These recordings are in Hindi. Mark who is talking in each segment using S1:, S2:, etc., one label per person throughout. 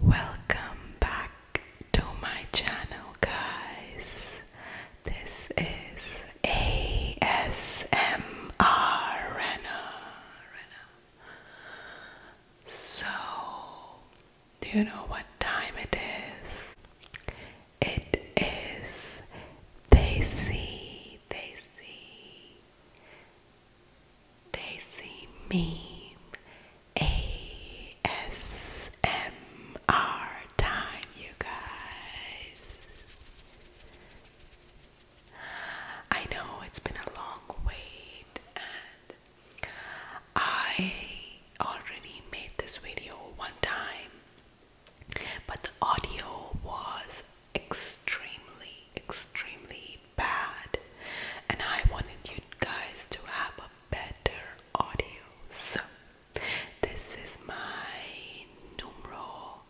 S1: Welcome back to my channel, guys. This is ASMR Rena. So, do you know what time it is? It is Daisy, Daisy, Daisy Meme ASMR time, you guys. I know it's been a long wait, and I already made this video one time, but the audio was extremely, extremely bad, and I wanted you guys to have a better audio. So, this is my numero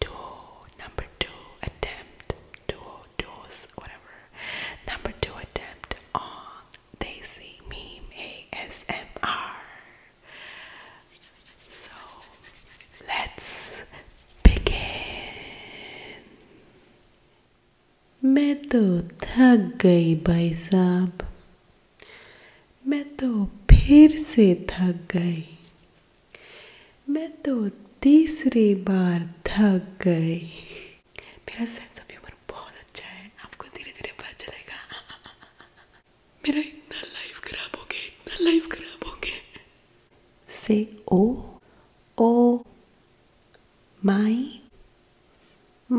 S1: duo, number two attempt, duo, duos, whatever, number two attempt on Daisy Meme ASMR. So, let's begin. मैं तो थक गई भाई साहब मैं तो फिर से थक गई मैं तो तीसरी बार थक गई मेरा सेंस ऑफ ह्यूमर बहुत अच्छा है आपको धीरे धीरे पता चलेगा मेरा इतना लाइफ खराब हो गया इतना लाइफ खराब हो गया से oh oh my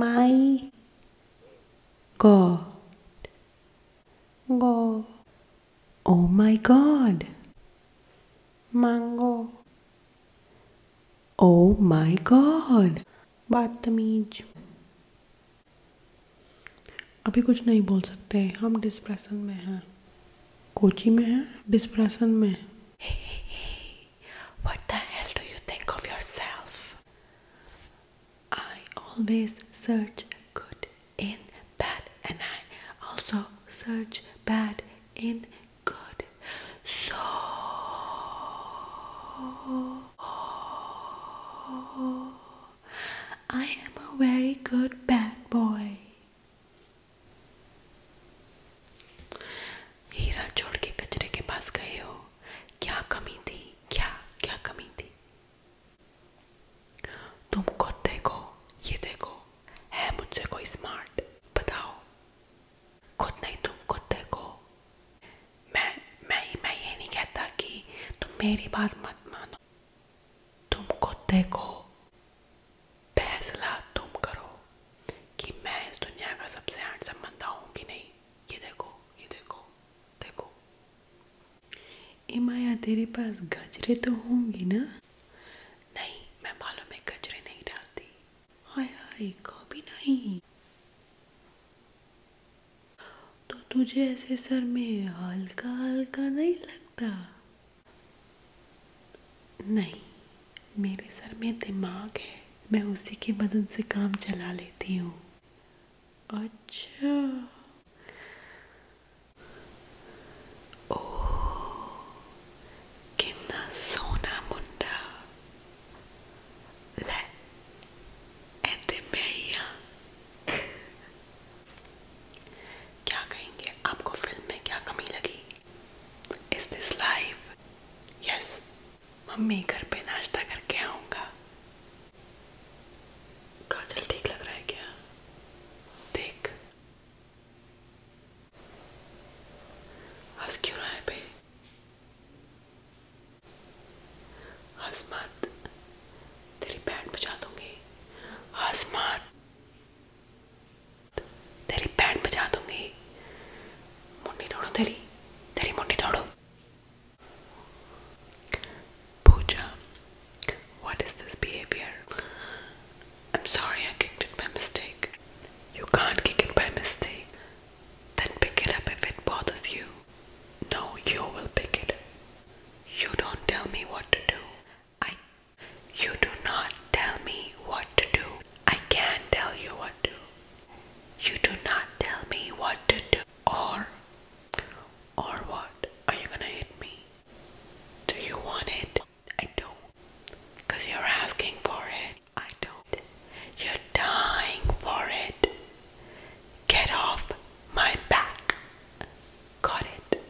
S1: my god go oh my god mango oh my god बदतमीज अभी कुछ नहीं बोल सकते हम डिस्प्रेशन में हैं कोची में हैं डिस्प्रेशन में What the hell do you think of yourself? I always search good in bad, and I also search bad in good. So I am a very good bad boy. हीरा छोड़ के कचरे के पास गए हो क्या कमी थी क्या क्या कमी थी तुम खुद देखो ये देखो है मुझसे कोई स्मार्ट बताओ खुद नहीं तुम खुद देखो मैं मैं मैं ये नहीं कहता कि तुम मेरी बात मत मानो तुम खुद देखो फैसला तुम करो कि मैं इस दुनिया का सबसे नहीं देखो देखो माया तेरे पास गजरे तो होंगी ना नहीं मैं बालों में गजरे नहीं डालती हाय हाय कभी नहीं तो तुझे ऐसे सर में हल्का हल्का नहीं लगता नहीं मेरे सर में दिमाग है मैं उसी की मदद से काम चला लेती हूँ अच्छा ओ कितना सोना मुंडा ले क्या कहेंगे आपको फिल्म में क्या कमी लगी Is this live? Yes. Mummy घर पे नाश्ता करके आऊंगा काजल ठीक लग रहा है क्या देख हंस क्यों रहा है बे हंस मत तेरी पैंट बचा दूंगी हंस मत तेरी बैंड बजा दूंगी मुंडी तोड़ो तेरी तेरी मुंडी तोड़ो Pooja, what is this behavior? I'm sorry I kicked it by mistake. You can't kick it by mistake. Then pick it up if it bothers you. No, you will pick it. You don't tell me what to do. I you do not tell me what to do. I can't tell you what to. You do not tell me what to do. Or, or what? Are you gonna hit me? Do you want it? I don't. Because you're asking for it. I don't. You're dying for it. Get off my back. Got it.